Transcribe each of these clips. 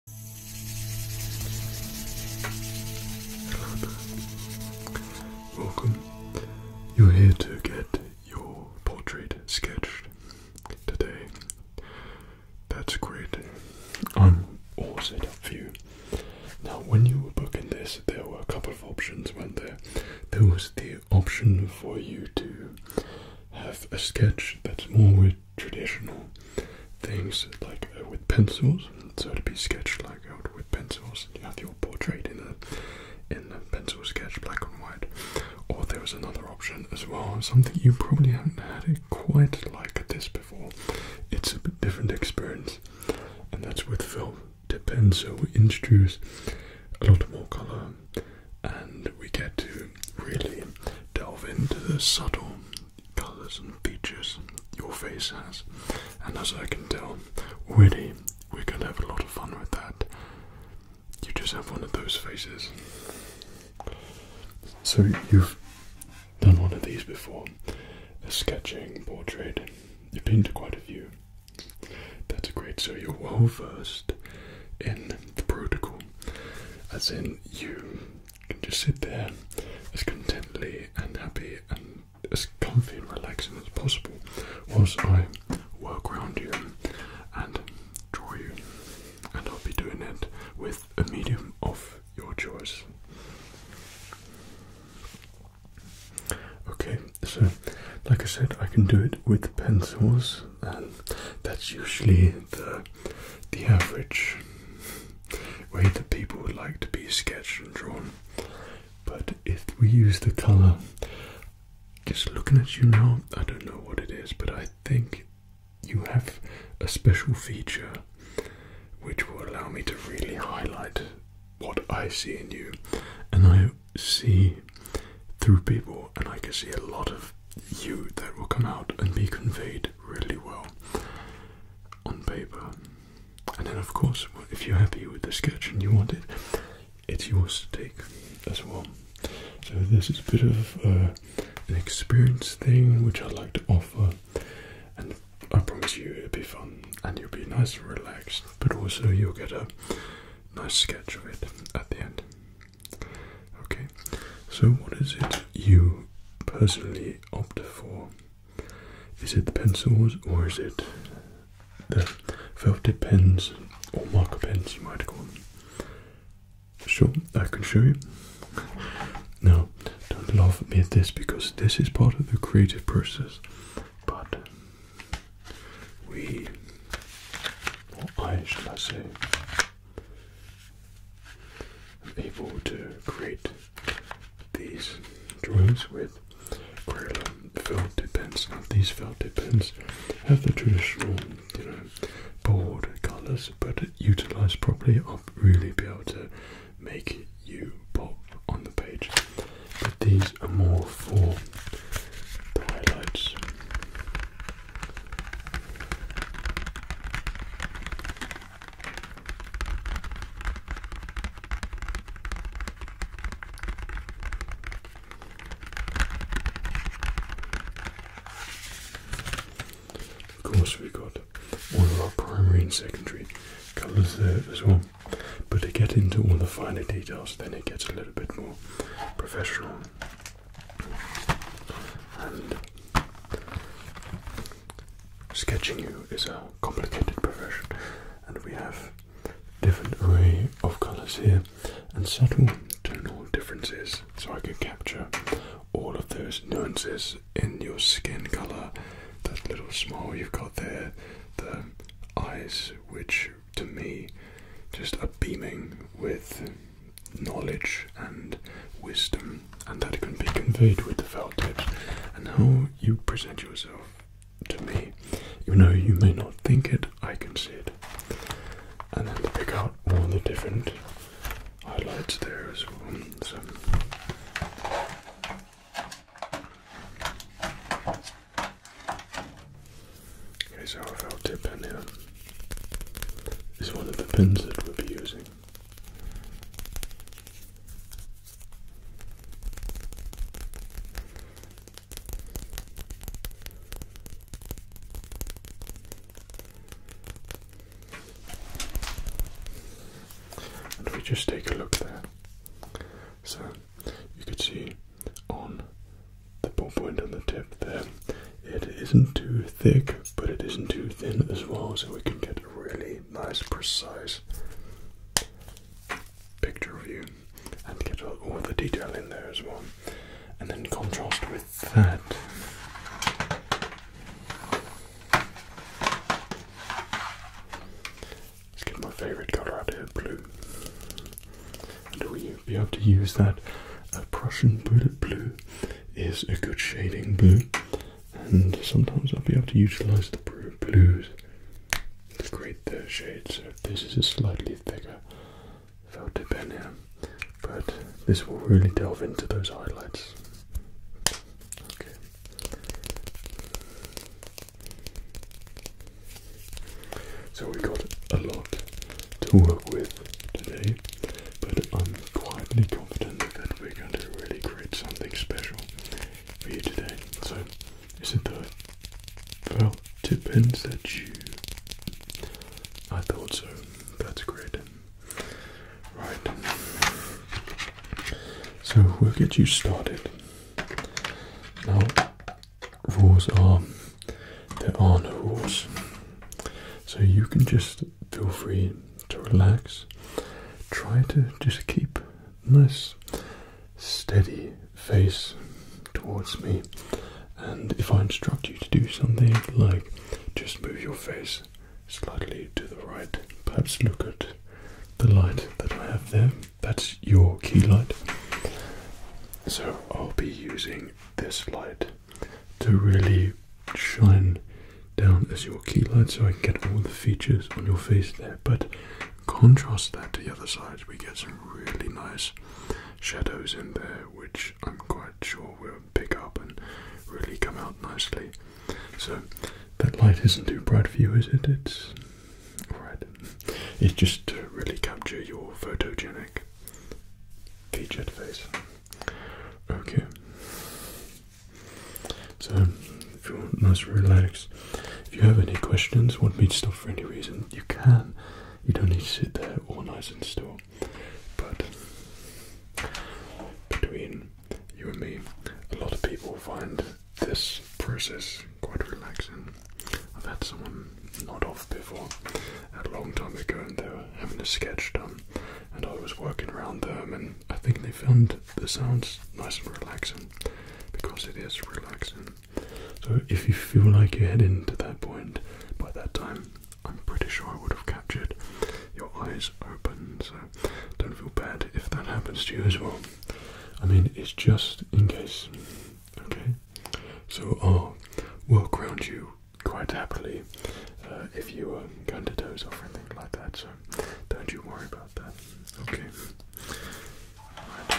Welcome. You're here to get your portrait sketched today. That's great. I'm all set up for you. Now, when you were booking this, there were a couple of options, were there? There was the option for you to have a sketch that's more traditional things like uh, with pencils. So to be sketched like out with pencils, you have your portrait in a in a pencil sketch, black and white. Or there was another option as well, something you probably haven't had it quite like this before. It's a different experience, and that's with film to pencil. We introduce a lot more color, and we get to really delve into the subtle colours and features your face has, and as I can tell, really, we're going to have a lot of fun with that. You just have one of those faces. So, you've done one of these before sketching portrait, you've painted quite a few. That's great, so you're well versed in the protocol, as in you you can just sit there as contently and happy and as comfy and relaxing as possible whilst I work around you and draw you. And I'll be doing it with a medium of your choice. Okay, so like I said, I can do it with pencils, and that's usually the the average way that people would like to be sketched and drawn. But if we use the colour, just looking at you now, I don't know what it is, but I think you have a special feature which will allow me to really highlight what I see in you. And I see through people, and I can see a lot of you that will come out and be conveyed really well on paper. And then, of course, if you're happy with the sketch and you want it, it's yours to take as well. So, this is a bit of uh, an experience thing which I'd like to offer, and I promise you it'll be fun and you'll be nice and relaxed, but also you'll get a nice sketch of it at the end. Okay, so what is it you personally opt for? Is it the pencils or is it the felted pens or marker pens you might call them? Sure, I can show you. Now, don't laugh at me at this because this is part of the creative process, but we, or I should I say, i able to create these drawings with Krayla felt pens. Now these felt pens have the traditional, you bold colours, but utilised properly, I'll really be able to make you pop on the page. But these are more for the highlights. Of course, we've got all of our primary and secondary colours there as well. But to get into all the finer details, then it gets a little bit more professional sketching you is a complicated profession, and we have different array of colors here and subtle tonal differences, so I can capture all of those nuances in your skin color. That little smile you've got there, the eyes, which to me just are beaming with knowledge and wisdom, and that can be conveyed with the felt tips, and how you present yourself to me. You know, you may not think it, I can see it. And then to pick out all the different highlights there as well. Okay, so our tip here is one of the pins that we'll be using. And we just take a look there, so you could see on the ballpoint on the tip there it isn't too thick, but it isn't too thin as well, so we can get a really nice, precise picture of you and get all the detail in there as well. And then contrast with that. Let's get my favorite color out here, blue. And we be able to use that uh, Prussian bullet blue is a good shading blue, and sometimes I'll be able to utilize the blues to create the shade. So this is a slightly thicker felt pen here, but this will really delve into those highlights. Okay. So we got a lot to work with today, but I'm Quite confident that we're going to really create something special for you today. So, is it the well tip pins that you? I thought so. That's great. Right. So we'll get you started. Now, rules are there are no rules, so you can just feel free to relax. Try to just keep nice steady face towards me. And if I instruct you to do something like just move your face slightly to the right, perhaps look at the light that I have there. That's your key light. So I'll be using this light to really shine down as your key light so I can get all the features on your face there. But contrast that to the other side, we get some really nice shadows in there, which I'm quite sure will pick up and really come out nicely. So that light isn't too bright for you, is it? It's alright. It's just to uh, really capture your photogenic featured face. Okay. So feel nice and relaxed. If you have any questions, want me to stop for any reason, you can. You don't need to sit there all nice and still. But between you and me, a lot of people find this process quite relaxing. I've had someone nod off before a long time ago and they were having a sketch done um, and I was working around them, and I think they found the sounds nice and relaxing because it is relaxing. So if you feel like you're heading to that point by that time, I'm pretty sure I would have captured your eyes open. So don't feel bad if that happens to you as well. I mean, it's just in case. Okay, so I'll work around you quite happily uh, if you um, going to doze off or anything like that. So don't you worry about that. Okay. Right.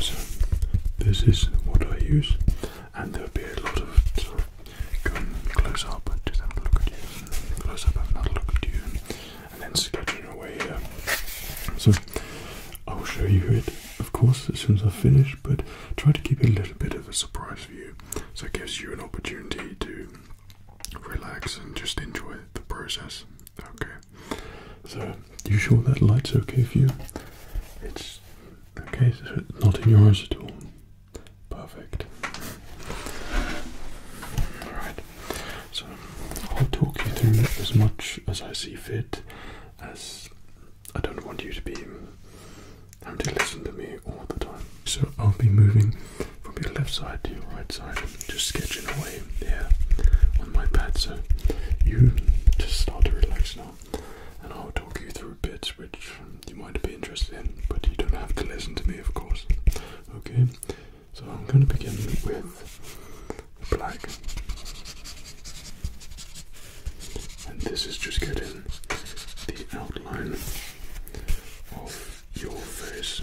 So this is what I use, and there'll be a lot of close up and just not a look at you, close up, have not look at you, and then sketching away here. So I'll show you it, of course, as soon as I finish, but try to keep it a little bit of a surprise for you, so it gives you an opportunity to relax and just enjoy the process. Okay, so you sure that light's okay for you? It's okay, so it's not in your eyes at all. Perfect. Alright, so I'll talk you through as much as I see fit, as I don't want you to be having to listen to me all the time. So I'll be moving from your left side to your right side, just sketching away here on my pad. So you just start to relax now, and I'll talk you through bits which you might be interested in, but you don't have to listen to me, of course. Okay, so I'm going to begin with black, and this is just getting the outline of your face.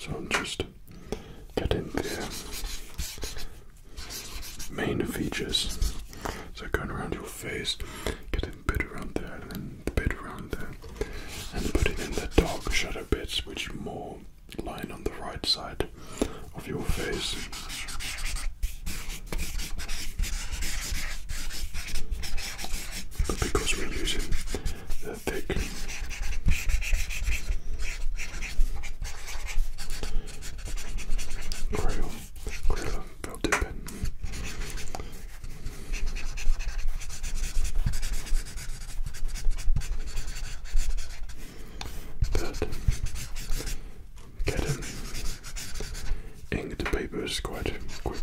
So I'm just getting the main features. So going around your face, getting a bit around there, and then and the bit around there, and putting in the dark shadow bits which more line on the right side of your face. But because we're using the thick crayon, crayon felt dip get getting inked the papers quite quick.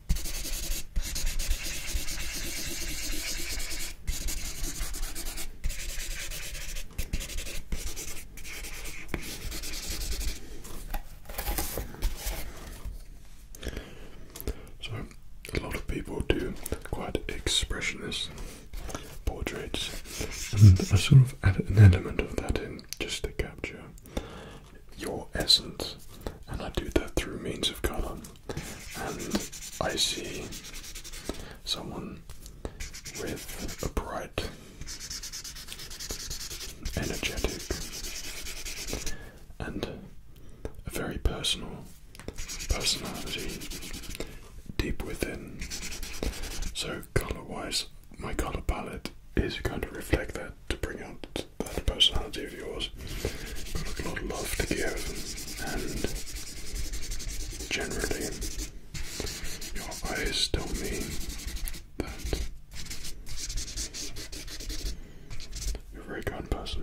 So, a lot of people do quite expressionist portraits, and I sort of add an element of that in just to capture your essence, and I do that through means of color. And I see someone with a bright, energetic, and a very personal personality deep within. So, color wise, my color palette is going to reflect that to bring out that personality of yours. Got a lot of love to give, and generally, your eyes tell me that very kind person.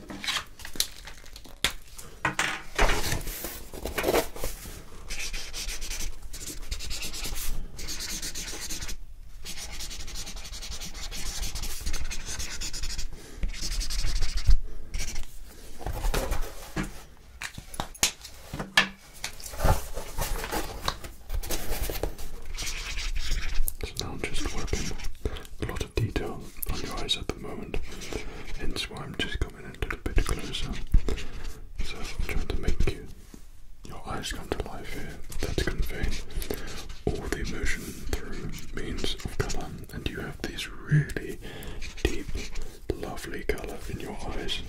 It's now just working a lot of detail on your eyes at moment, hence why I'm just coming in a little bit closer. So I'm trying to make you, your eyes come to life here. That's conveying all the emotion through means of colour, and you have these really deep, lovely colour in your eyes.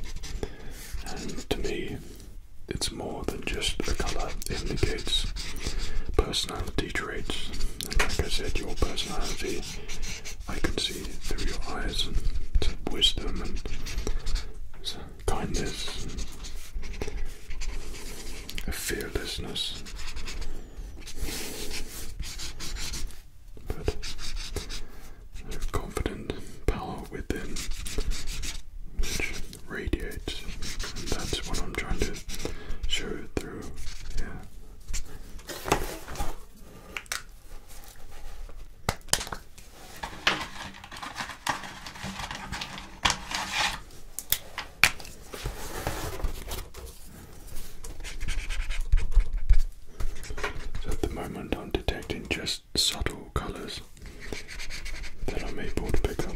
And to me, it's more than just the colour, it indicates personality traits. And like I said, your personality, I can see through your eyes, and wisdom and kindness, and a fearlessness. But a confident power within which radiates. And that's what I'm trying to show through yeah, so at the moment, I'm detecting just subtle colours that I'm able to pick up.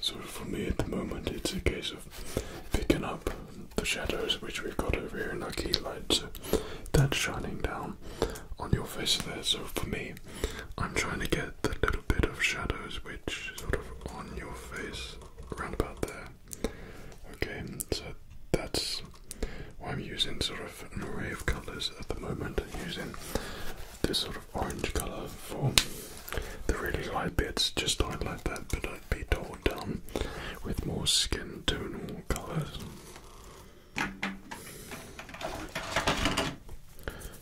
So for me at the moment, it's a case of picking up the shadows which we've got over here in our key light. So that's shining down on your face there. So for me, I'm trying to get the little bit of shadows which sort of on your face around about there. Okay, so that's why I'm using sort of an array of colours at the moment. using this sort of orange colour for the really light bits, just don't like that, but I be done with more skin tonal colours.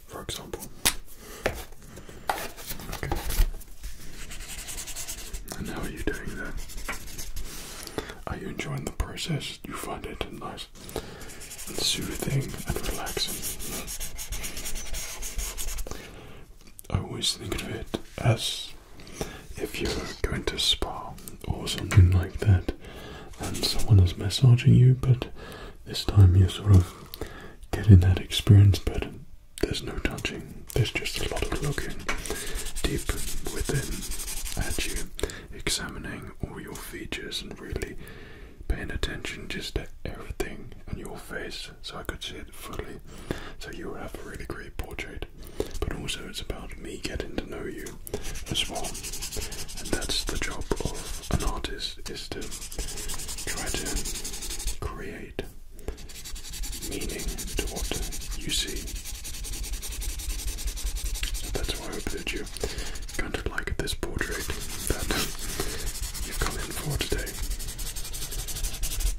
For example, And how are you doing there? Are you enjoying the process? You find it nice and soothing and relaxing. I always think of it as if you're going to spa or something like that and someone is massaging you, but this time you're sort of getting that experience, but there's no touching, there's just a lot of looking deep within at you, examining all your features and really paying attention just to everything on your face so I could see it fully. So you will have a really great portrait, but also it's about me getting to know you as well. And that's the job of an artist is to try to create meaning to what you see. that's why I hope that you kind of like this portrait that you've come in for today.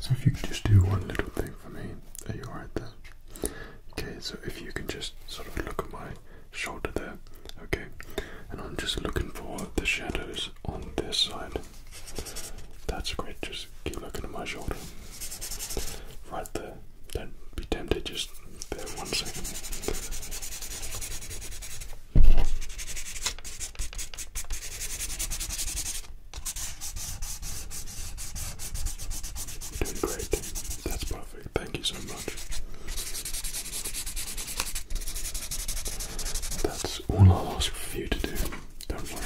So if you could just do one little thing for me, are you alright there? Okay, so if you can just sort of look at my shoulder there, okay? And I'm just looking for the shadows on this side. That's great, just keep looking at my shoulder. Right there. Don't be tempted, just there one second great. That's perfect. Thank you so much. That's all i ask for you to do. Don't worry.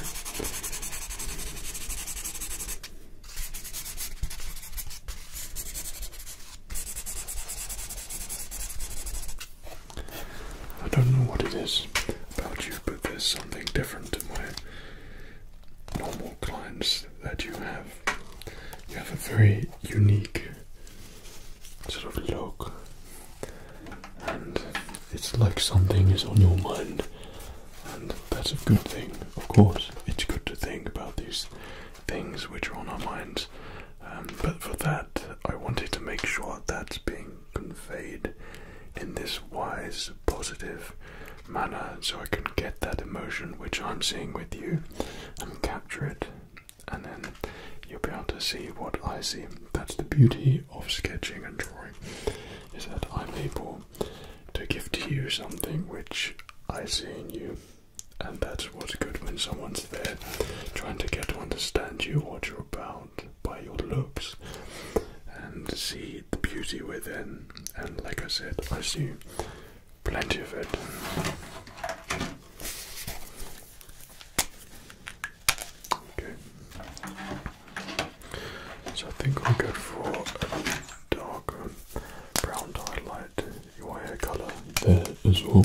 I don't know what it is about you, but there's something different to my normal clients that you have. You have a very unique sort of look, and it's like something is on your mind, and that's a good thing, of course. It's good to think about these things which are on our minds. Um, but for that, I wanted to make sure that's being conveyed in this wise, positive manner so I can get that emotion which I'm seeing with you and capture it. And then you'll be able to see what I see. That's the beauty of sketching and drawing, is that I'm able to give to you something which I see in you. And that's what's good when someone's there trying to get to understand you, what you're about, by your looks, and see the beauty within. And like I said, I see plenty of it. Okay. So I think i go for a darker brown highlight, your hair colour there as well.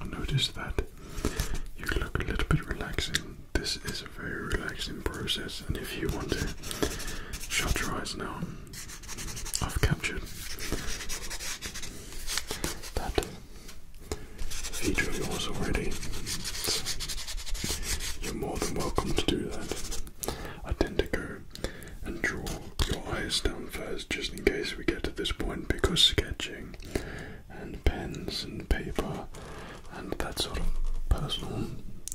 I noticed that you look a little bit relaxing. This is a very relaxing process, and if you want to shut your eyes now, I've captured that feature of yours already. You're more than welcome to do that. I tend to go and draw your eyes down first just in case we get to this point because sketching and pens and paper and that sort of personal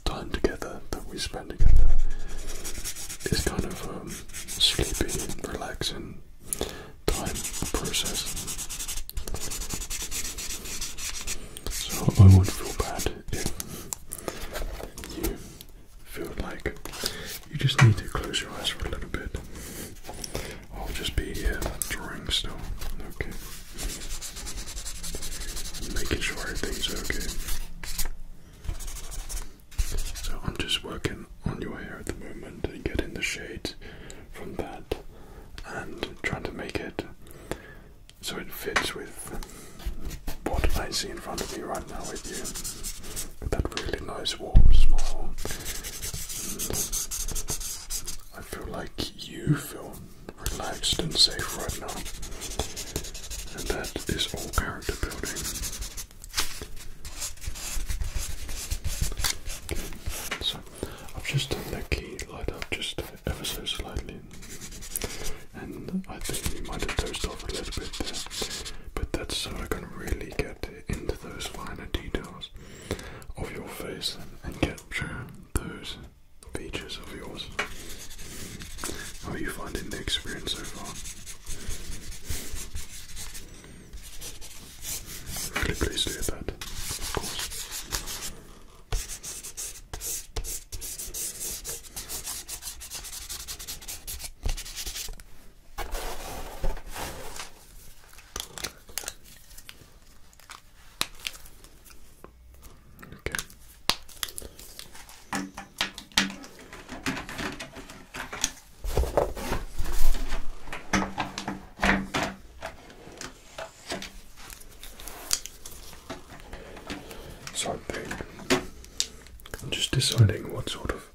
time together that we spend together is kind of a um, sleepy, relaxing time process. So I would feel bad if you feel like you just need to close your eyes for a little bit. I'll just be here drawing still. Okay. Making sure everything's okay. So I'm just working on your hair at the moment and getting the shade from that and trying to make it so it fits with what I see in front of me right now with you. that really nice warm smile. Mm. I feel like you feel relaxed and safe right now. And that is all character building. so I've just done that key light up just ever so slightly. And I think we might have dozed off a little bit there. But that's so I can really get into those finer details of your face and, capture those features of yours. How are you finding the experience so far? Really pleased to that, Okay. So I'm just deciding what sort of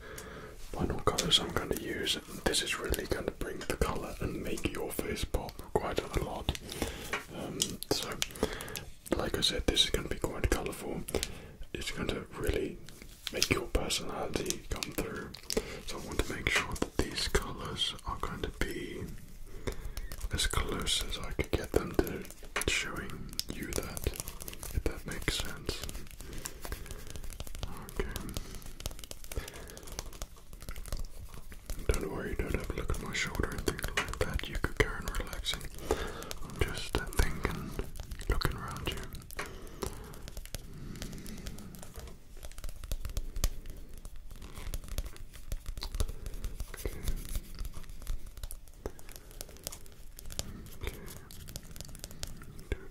final colours I'm going to use. This is really going to bring the colour and make your face pop quite a lot. Um, so, like I said, this is going to be quite colourful. It's going to really make your personality come through. So, I want to make sure that these colours are going to be as close as I could get them to showing you that, if that makes sense. Don't worry, don't have to look at my shoulder and things like that. You could go and relaxing. I'm just uh, thinking, looking around you.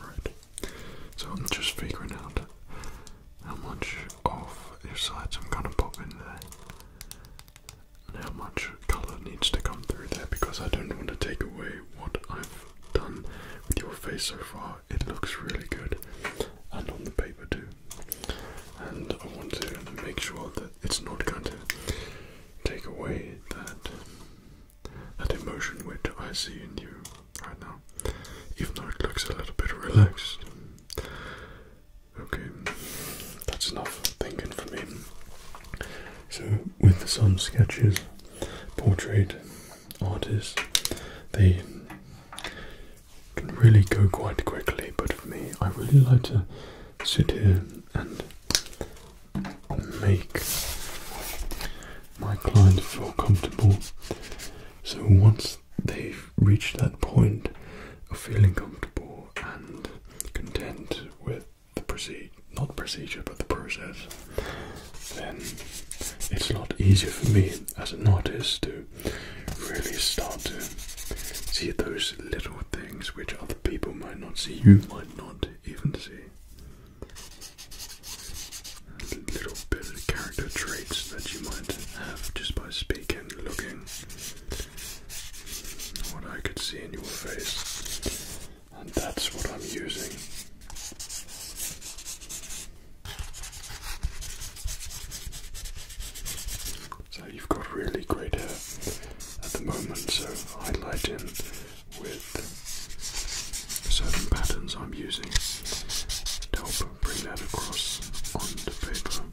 Right. So I'm just figuring out how much of each side, so I'm gonna pop in there. And how much colour needs to come through there because I don't want to take away what I've done with your face so far. It looks really good, and on the paper too. And I want to make sure that it's not going to take away that that emotion which I see in you right now. Even though it looks a little bit relaxed, Okay, that's enough thinking for me. So, with some sketches, portrait artists, they can really go quite quickly, but for me, I really like to sit here and make my client feel comfortable. So, once they've reached that point of feeling comfortable and content with the procedure, not procedure, but the process, then it's a lot easier for me as an artist to really start to see those little things which other people might not see, you might not even see. little bit of character traits that you might have just by speaking, looking, what I could see in your face, and that's what I'm using. So you've got really great hair at the moment, so highlight in with certain patterns I'm using to help bring that across on the paper.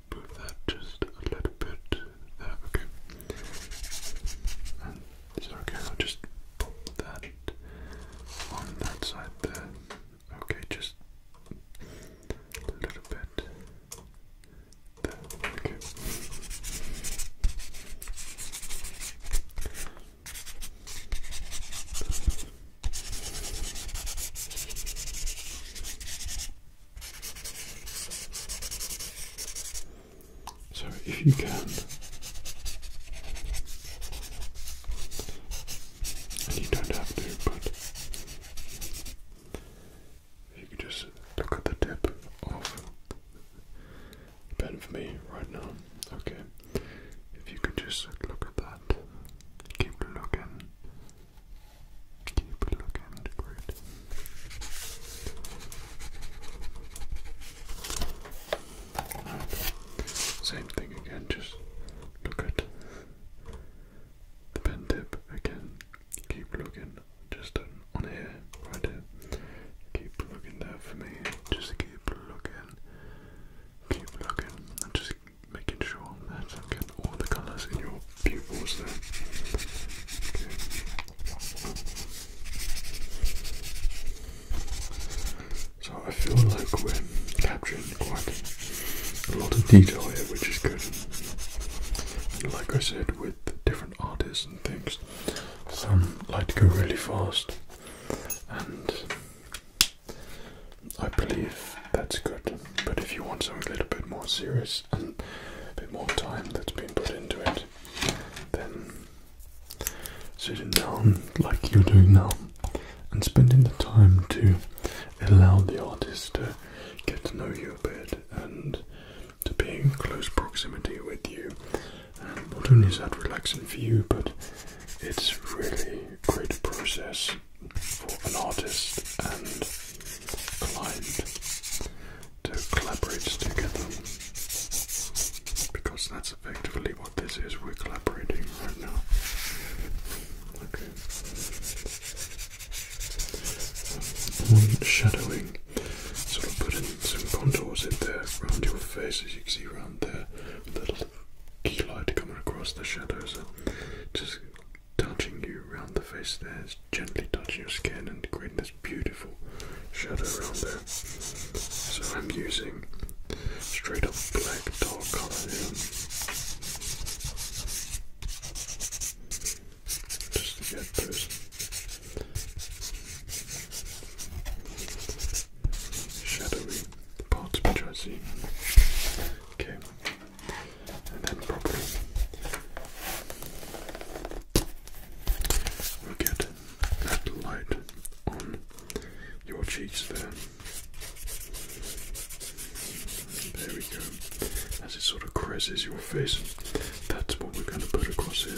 put that just a little bit there, okay. And is okay? I'll just pop that on that side there. Okay, just a little bit there, Okay, so if you can, and you don't have to, but you could just look at the tip of the pen for me right now, okay? If you could just look at that, keep looking, Keep looking great. Same thing again, just look at the pen tip again. Keep looking just on here, right here. Keep looking there for me. Just keep looking. Keep looking. Just making sure that I get all the colours in your pupils there. So I feel like we're capturing quite a lot of detail here, which is good. And like I said, with different artists and things, some like to go really fast, and I believe that's good. But if you want something a little bit more serious and a bit more time that's been put into it, then sitting down like you're doing now and spending the time to allow the artist to get to know you a bit and to be in close proximity with you. not only is that relaxing for you, but it's really a great process for an artist and client to collaborate together because that's effectively what this is. We're collaborating right now. Okay. On shadowing, sort of putting some contours in there around your face, as you can see around there, a little light coming across the shadows, just touching you around the face there, gently touching your skin and creating this beautiful shadow around there. So I'm using straight up black dark colour here. Just to get those shadowy parts which I see. Okay and then probably we'll get that light on your cheeks there. There we go. As it sort of creases your face, that's what we're going to put across here.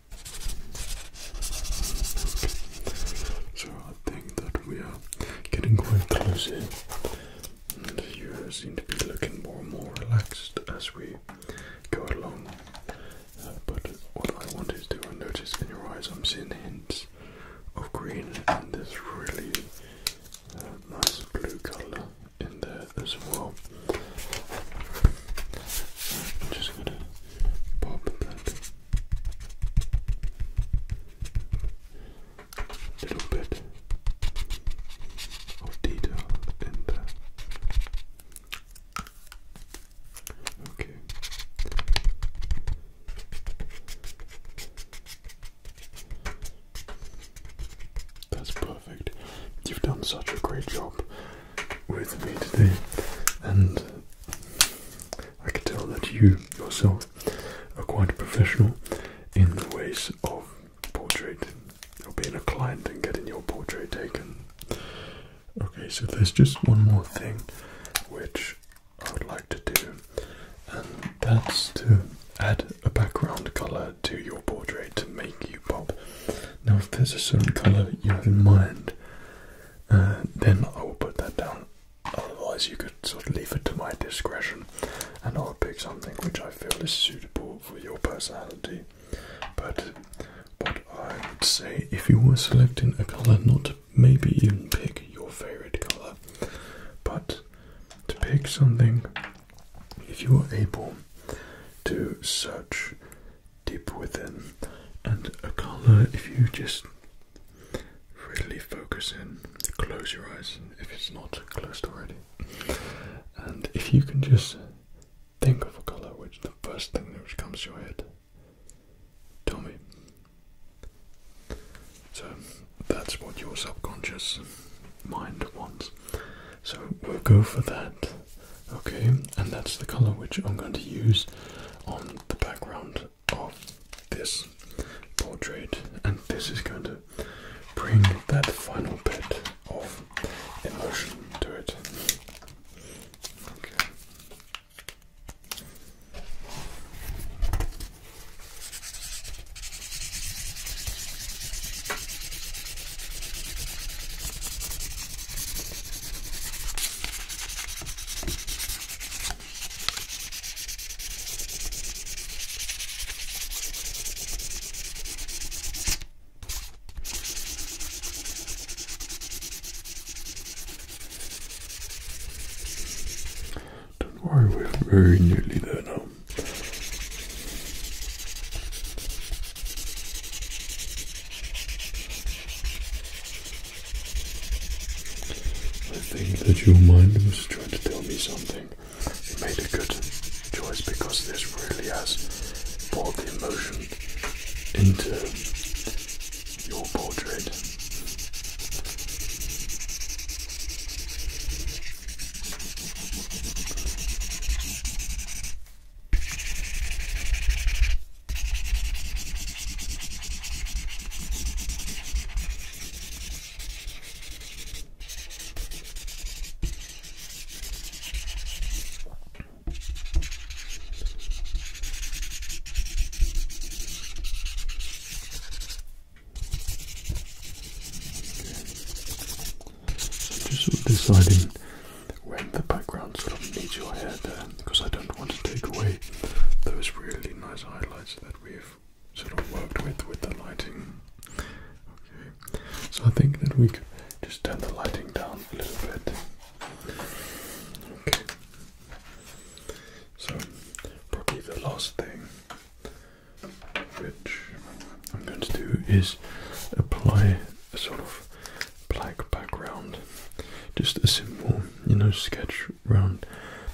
So I think that we are getting quite close here. And you seem to be looking more and more relaxed as we go along. Uh, but what I want is to notice in your eyes, I'm seeing hints of green and there's really uh, nice blue color in there as well. I'm just going to pop that little bit of detail in there. Okay. That's perfect. You've done such a great job with me today, and I can tell that you yourself are quite professional in the ways of portrait, of being a client and getting your portrait taken. Okay, so there's just one more thing which I would like to do, and that's to add a background color to your portrait to make you. Now, if there's a certain color you have in mind, uh, then I will put that down. Otherwise, you could sort of leave it to my discretion, and I'll pick something which I feel is suitable for your personality. But what I would say, if you were selecting a color, not maybe even pick your favorite color, but to pick something if you were able to search deep within, and a color if you just really focus in, close your eyes if it's not closed already, and if you can just think of a color, which the first thing which comes to your head, tell me. So that's what your subconscious mind wants. So we'll go for that Okay, and that's the color which I'm going to use on the background of this portrait, and this is going to bring that final bit of emotion to it. Don't worry, we're very nearly there now. I think that your mind was trying to tell me something. You made a good choice because this really has brought the emotion into your portrait. Just sort deciding when the background sort of meets your head, there uh, because I don't want to take away those really nice highlights that we've sort of worked with with the lighting. so I think that we could just turn the lighting down a little bit. Okay, so probably the last thing which I'm going to do is apply a sort of black background. Just a simple, you know, sketch round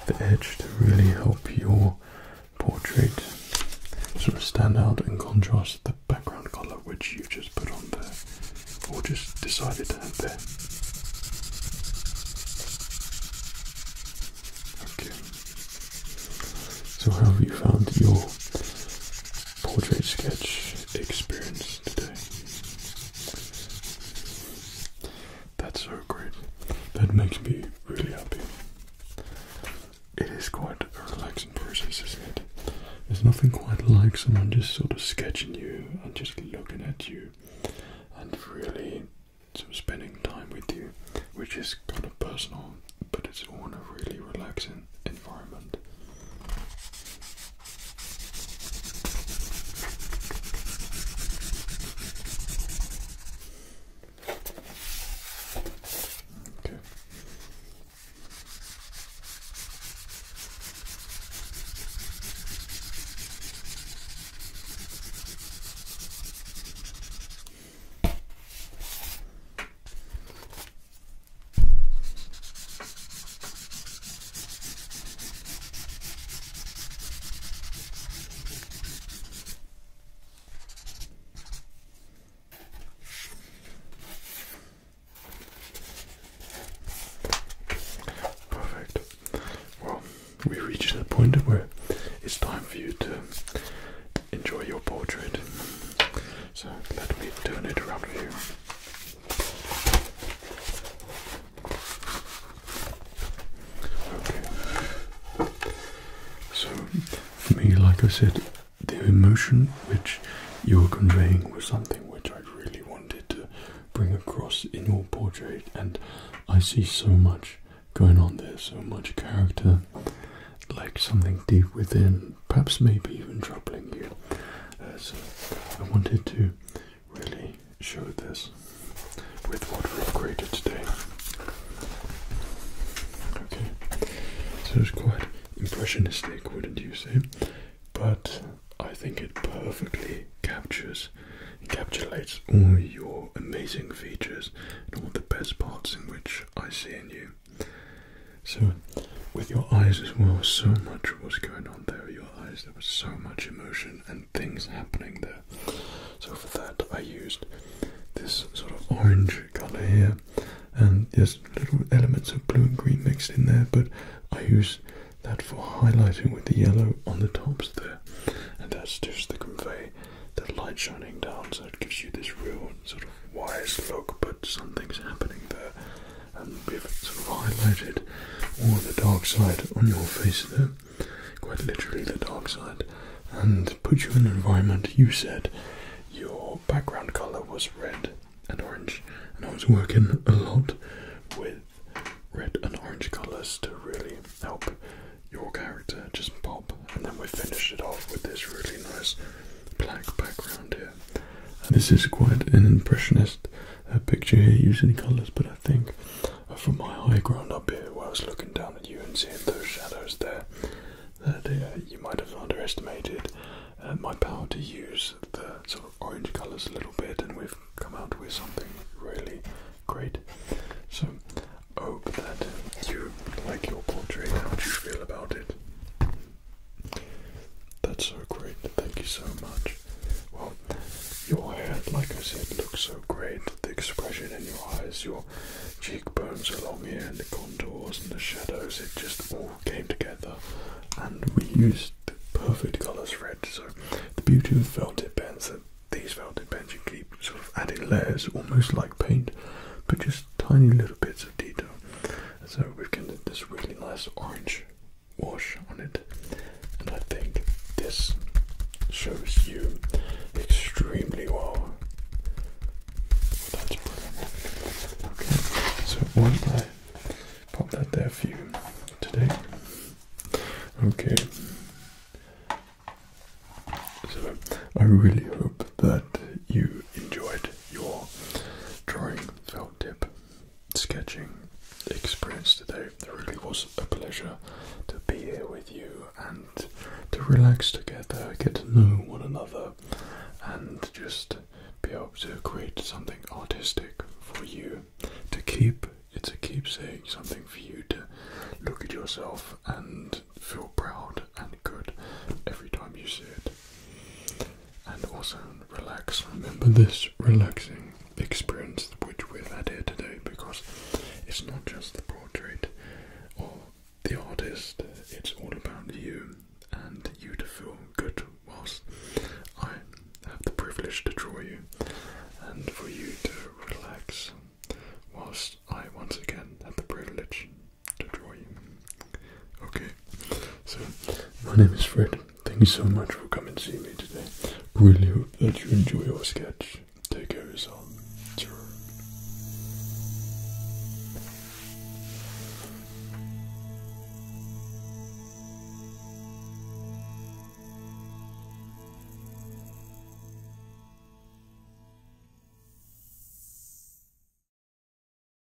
the edge to really help your portrait sort of stand out and contrast the background colour which you just put on there or just decided to have there. Okay. So have you found your portrait sketch experience today. That's so great. That makes me really happy. It is quite a relaxing process, isn't it? There's nothing quite like someone just sort of sketching you and just looking at you and really sort of spending time with you, which is kind of personal, but it's all in really relaxing environment. Okay. Perfect. Well, we reached the point where it's time for you to enjoy your portrait. So let me turn it around here. So, for me, like I said, the emotion which you were conveying was something which I really wanted to bring across in your portrait, and I see so much going on there, so much character, like something deep within perhaps maybe even troubling you. Uh, I wanted to really show this with what we've created today. Okay, so it's quite impressionistic, wouldn't you say? But I think it perfectly captures, encapsulates all your amazing features and all the best parts in which I see in you. So, with your eyes as well, so much was going on there. Your eyes, there was so much emotion and things happening there. So, for that, I used this sort of orange color here, and there's little elements of blue and green mixed in there, but I use that for highlighting with the yellow on the tops there, and that's just to convey that light shining down, so it gives you this real sort of wise look, but something's happening there, and we've sort of highlighted all the dark side on your face there, quite literally the dark side, and put you in an environment. You said your background color was red and orange, and I was working a lot with red and orange colors to really help your character just pop, and then we finished it off with this really nice black background here. This is quite an impressionist uh, picture here using colours, but I think uh, from my high ground up here whilst looking down at you and seeing those shadows there, that uh, you might have underestimated my power to use the sort of orange colours a little bit, and we've come out with something really great. So, I hope that you like your portrait. How would you feel about it? That's so great. Thank you so much. Well, your hair, like I said, looks so great. The expression in your eyes, your cheekbones along here, and the contours and the shadows, it just all came together. And we used perfect colours for it. So, the beauty of velvet pens, these velvet pens you keep sort of adding layers, almost like paint, but just tiny little bits of detail. So we've get this really nice orange wash on it, and I think this shows you extremely well. That's brilliant. Okay, so one I pop that there for you today. Okay. So I really hope that you enjoyed your drawing, felt tip, sketching experience today. It really was a pleasure to be here with you and to relax together, get to know one another, and just be able to create something artistic for you to keep. It's a saying something for you to look at yourself and feel proud and good every time you see it and also relax. Remember this relaxing experience which we've had here today because it's not just the portrait or the artist, it's all about you and you to feel good whilst I have the privilege to draw you and for you to relax whilst I once again have the privilege to Okay, so my name is Fred. Thank you so much for coming to see me today. Really hope that you enjoy your sketch. Take care of yourself. Sure.